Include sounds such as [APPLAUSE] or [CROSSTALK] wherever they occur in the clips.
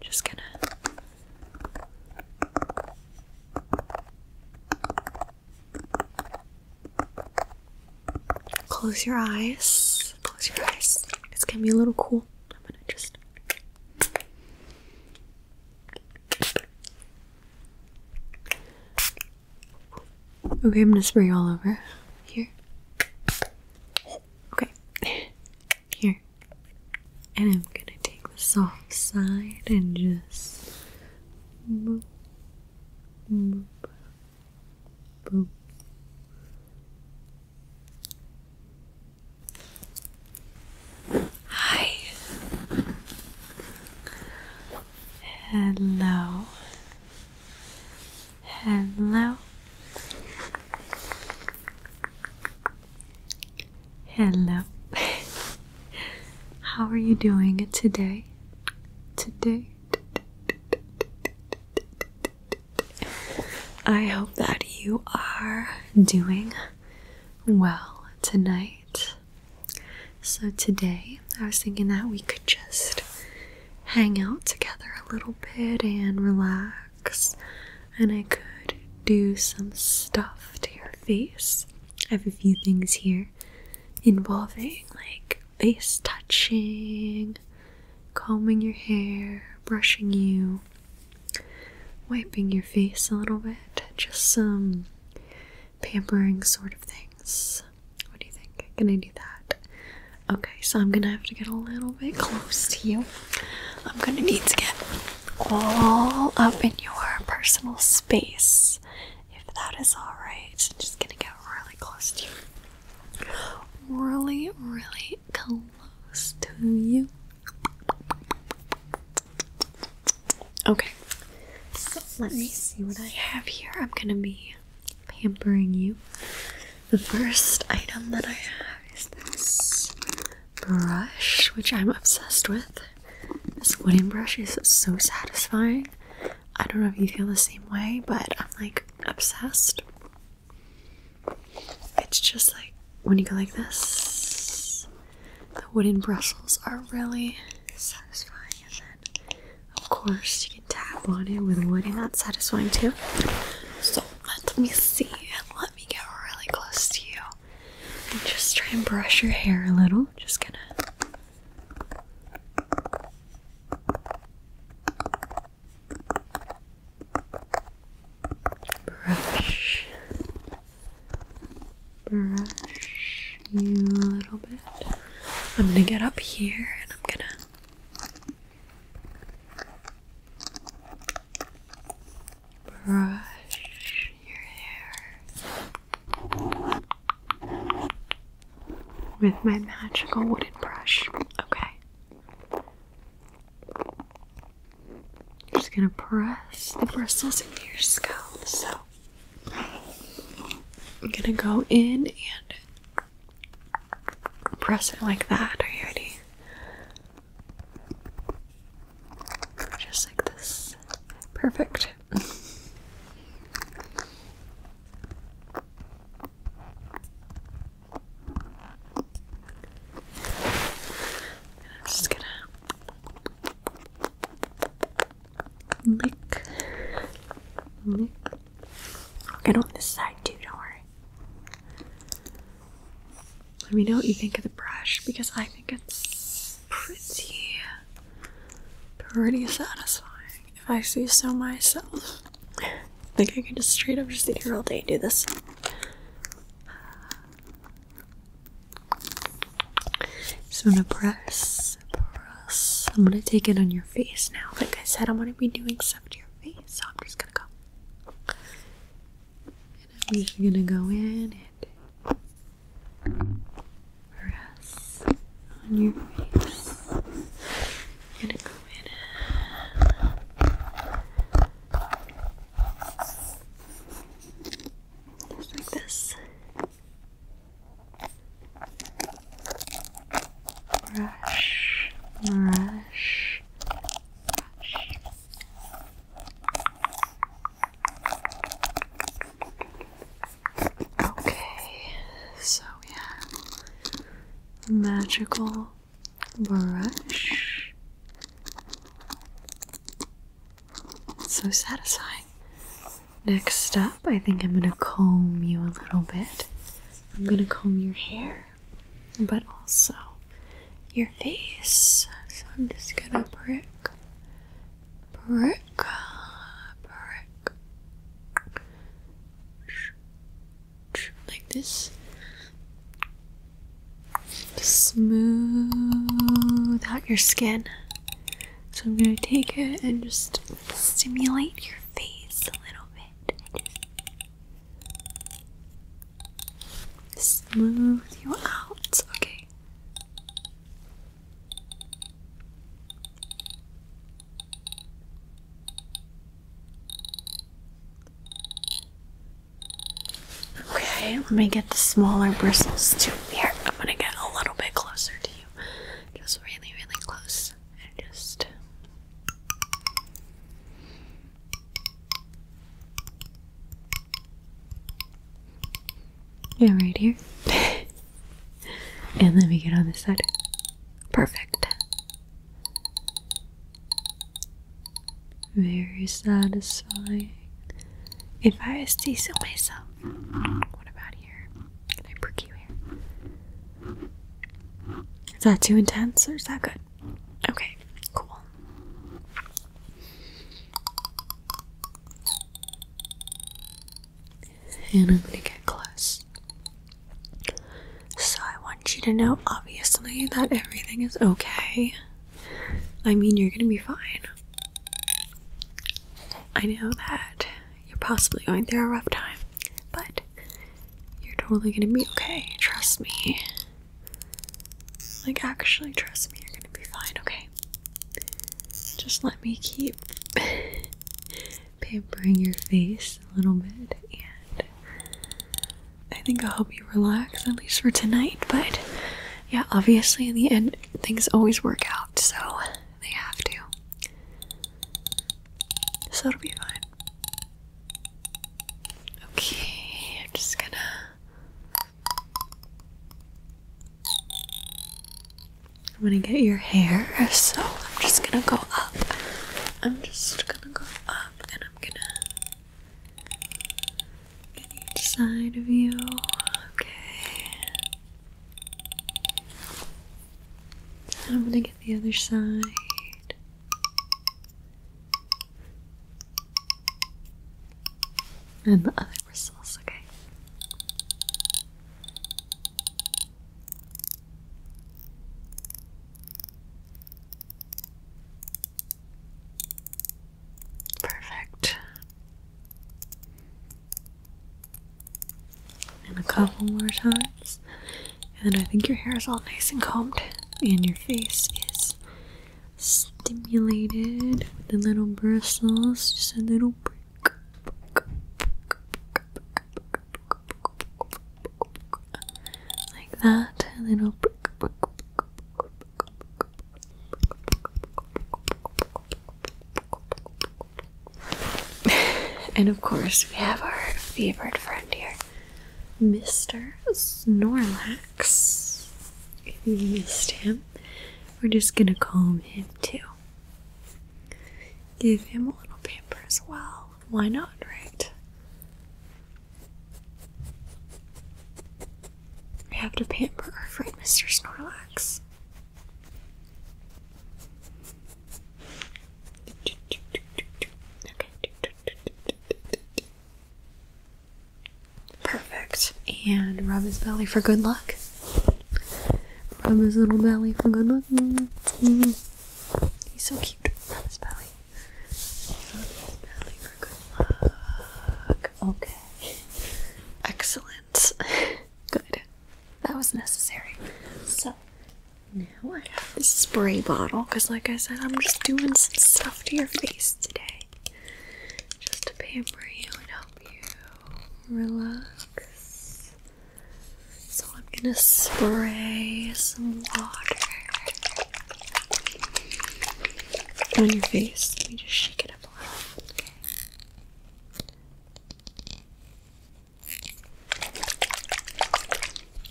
Just gonna close your eyes. Close your eyes. It's gonna be a little cool. I'm gonna just. Okay, I'm gonna spray all over here. Okay. Here. And I'm gonna take the soft side and just Hi. Hello. Hello. Hello. [LAUGHS] How are you doing today? Today? I hope that you are doing well tonight. So, today I was thinking that we could just hang out together a little bit and relax and I could do some stuff to your face. I have a few things here involving like face touching, combing your hair, brushing you, wiping your face a little bit, just some pampering sort of things. What do you think? Can I do that? Okay, so I'm gonna have to get a little bit close to you. I'm going to need to get all up in your personal space, if that is alright. I'm just going to get really close to you. Really, really close to you. Okay, so let me see what I have here. I'm gonna be pampering you. The first item that I have is this brush, which I'm obsessed with. This wooden brush is so satisfying. I don't know if you feel the same way, but I'm like obsessed. It's just like when you go like this, the wooden bristles are really satisfying. And then, of course, you can tap on it with wood, and that's satisfying too. So, let me see let me get really close to you. And just try and brush your hair a little. Just gonna. Brush, brush you a little bit. I'm gonna get up here and I'm gonna brush your hair with my magical wooden brush. Okay. I'm just gonna press the bristles into your scalp. So I'm gonna go in and press it like that. Are you ready? Just like this. Perfect. I'm just gonna lick, lick, and on this side too. Don't worry. Let me know what you think of the brush because I think it's pretty, pretty satisfying. If I see so myself, [LAUGHS] I think I can just straight up just sit here all day and do this. So I'm gonna press, press. I'm gonna take it on your face now. Like I said, I'm gonna be doing some to your face, so I'm just gonna go. And I'm just gonna go in and press on your face. gonna go in just like this. Brush, brush, Okay, so we have magical brush. so satisfying. Next up, I think I'm gonna comb you a little bit. I'm gonna comb your hair but also your face. So I'm just gonna prick, prick, prick, like this. Smooth out your skin. So I'm gonna take it and just stimulate your face a little bit. Smooth you out, okay. Okay, let me get the smaller bristles too. Here, I'm gonna get a little bit closer to you. Just really, really close. And just yeah, right here. and let me get on this side. Perfect. Very satisfying. If I steal myself, what about here? Can I prick you here? Is that too intense or is that good? Okay, cool. And I'm gonna get close. So I want you to know, obviously, that everything is okay. I mean, you're gonna be fine. I know that you're possibly going through a rough time, but you're totally gonna be okay. Trust me. Like, actually, trust me, you're gonna be fine, okay? Just let me keep [LAUGHS] pampering your face a little bit, and I think I'll help you relax at least for tonight. But yeah, obviously, in the end, things always work out, so they have to. So it'll be fine. Okay, I'm just gonna. I'm gonna get your hair, so I'm just gonna go up. I'm just gonna go up and I'm gonna get each side of you. Okay. I'm gonna get the other side. And the other bristles, okay. Perfect. And a couple more times this. And I think your hair is all nice and combed, and your face is stimulated with the little bristles. Just a little Like that, a little [LAUGHS] and of course, we have our favorite friend here. Mr. Snorlax. If you missed him, we're just gonna calm him too. Give him a little pamper as well. Why not, right? We have to pamper our friend Mr. Snorlax. Perfect. And rub his belly for good luck. Rub his little belly for good luck. He's so cute. Rub his belly. Rub his belly for good luck. Okay. Excellent. [LAUGHS] Good. That was necessary. So now I have this spray bottle because, like I said, I'm just doing some stuff to your face today. Just to pamper you and help you relax. So I'm gonna spray some water on your face. Let me just shake it up a little.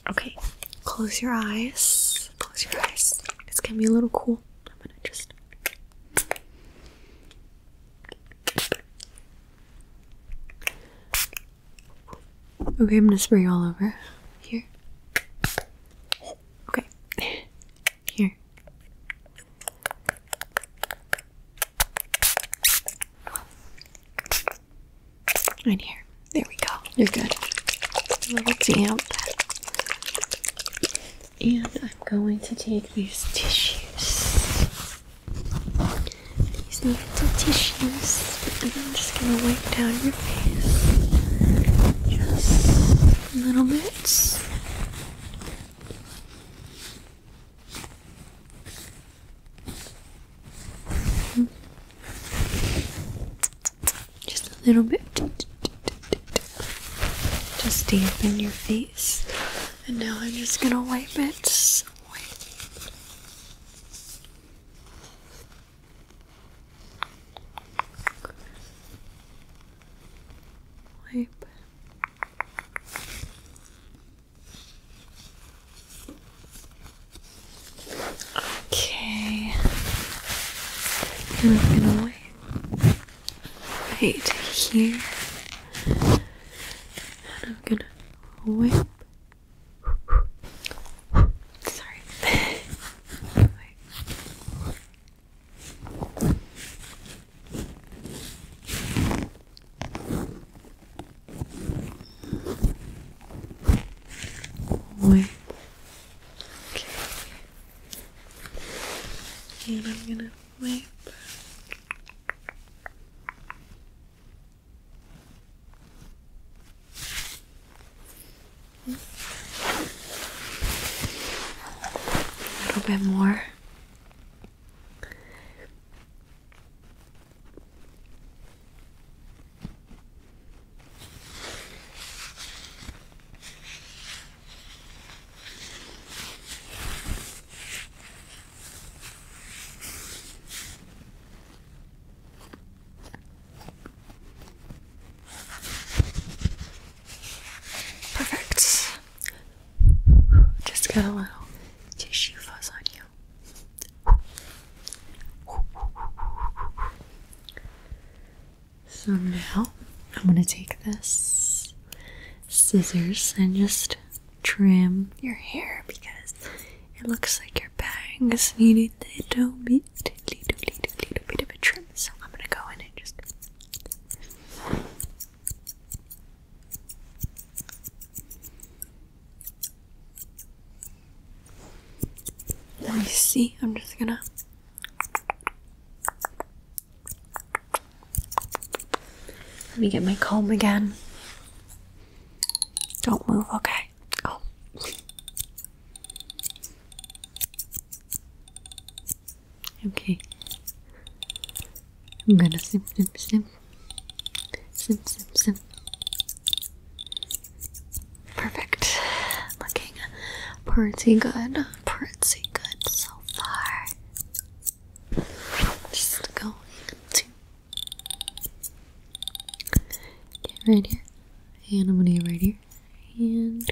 Okay, close your eyes. Close your eyes. It's gonna be a little cool. I'm gonna just. Okay, I'm gonna spray all over. Here. Okay. Here. Right here. There we go. You're good. A little damp. And I'm going to take these tissues. These little tissues. And I'm just going to wipe down your face. Just a little bit. Just a little bit. Just dampen your face. And now I'm just gonna wipe it. Wipe. Okay. I'm gonna wait right here. And I'm gonna whip. Sorry. Okay. And I'm gonna wipe. A little bit more. Perfect. Just got a little tissue fuzz on you. So now I'm going to take this scissors and just trim your hair because it looks like your bangs needed a little bit, little, little, little bit of a trim. So I'm going to go in and just. Let me see. I'm just gonna. Let me get my comb again. Don't move, okay? Oh. Okay. I'm gonna snip, snip, snip. Perfect. Looking pretty good. Pretty good so far. Just going to get right here. And I'm gonna get right here. And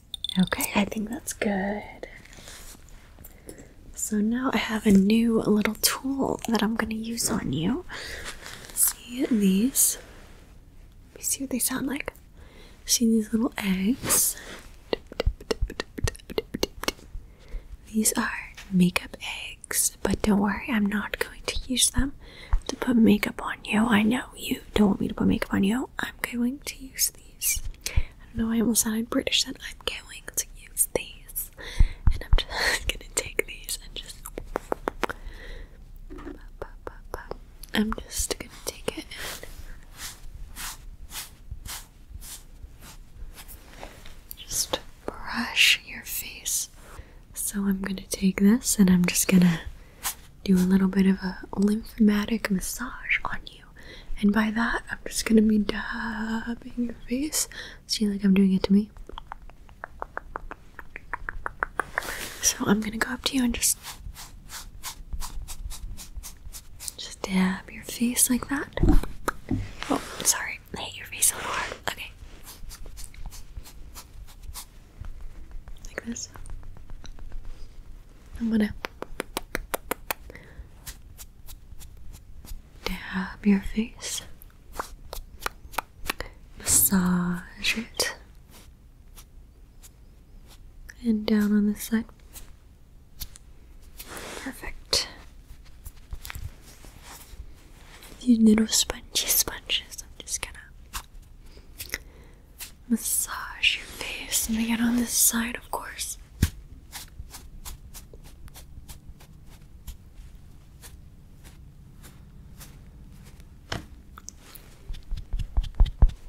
Okay, I think that's good. So now I have a new little tool that I'm gonna use on you. See these? Let me see what they sound like. See these little eggs? These are makeup eggs, but don't worry, I'm not going to use them to put makeup on you. I know you don't want me to put makeup on you. I'm going to use I don't know, I almost sounded British then. I'm going to use these. And I'm [LAUGHS] just gonna take these and just. I'm just gonna take it and just brush your face. So I'm gonna take this and I'm just gonna do a little bit of a lymphatic massage on you. And by that, I'm just gonna be dabbing your face. See, like I'm doing it to me. So I'm gonna go up to you and just just dab your face like that. Oh, sorry, I hit your face a little hard. Okay like this. I'm gonna dab your face, massage it, and down on this side. Perfect. These little spongy sponges, I'm just gonna massage your face. Let me get on this side, of course.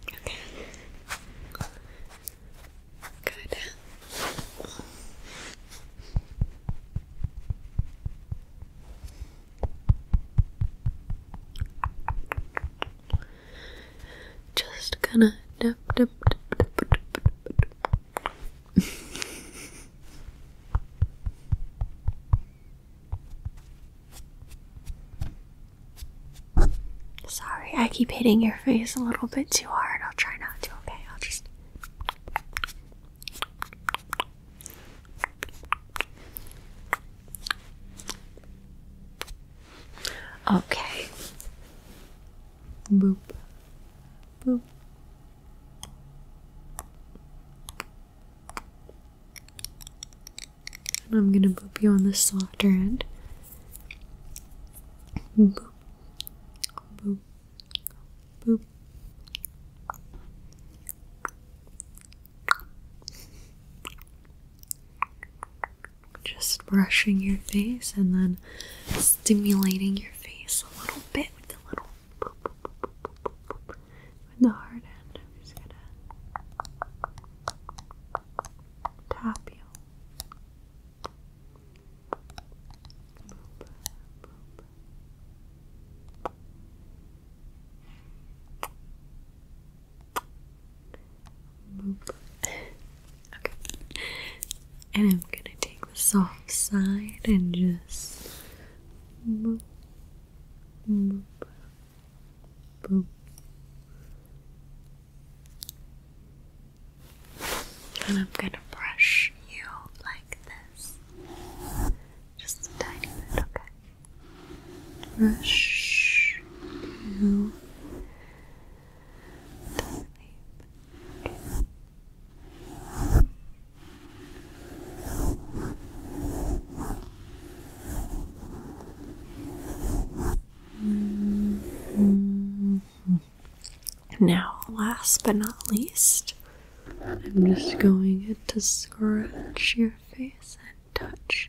Okay. Good. Just gonna dip, dip, dip, dip, dip, dip, dip. Sorry, I keep hitting your face a little bit too hard. I'll try not to, okay? I'll just. Okay. Boop. Boop. And I'm gonna boop you on the softer end. Boop. Boop. Boop. Just brushing your face and then stimulating your face a little bit with the little with the hard end. I'm just gonna tap you. [LAUGHS] okay. And I'm gonna take the soft side and just boop, boop, boop. And I'm gonna brush you like this. Just a tiny bit, okay? rush to sleep. Now, last but not least, I'm just going to scratch your face and touch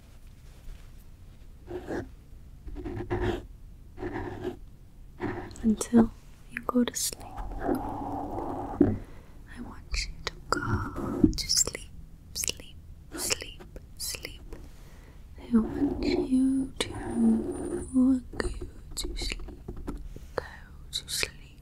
until you go to sleep. I want you to go to sleep, sleep, sleep, sleep. I want you to go to sleep, go to sleep,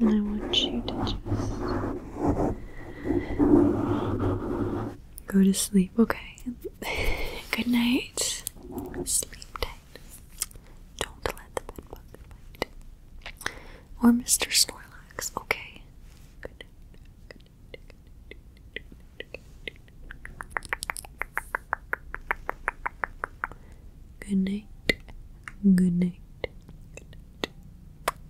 I want you to just go to sleep, okay? [LAUGHS] Good night. Sleep tight. Don't let the bed bite. Or Mr. Snorlax, okay? Good night. Good night. Good night. Good night.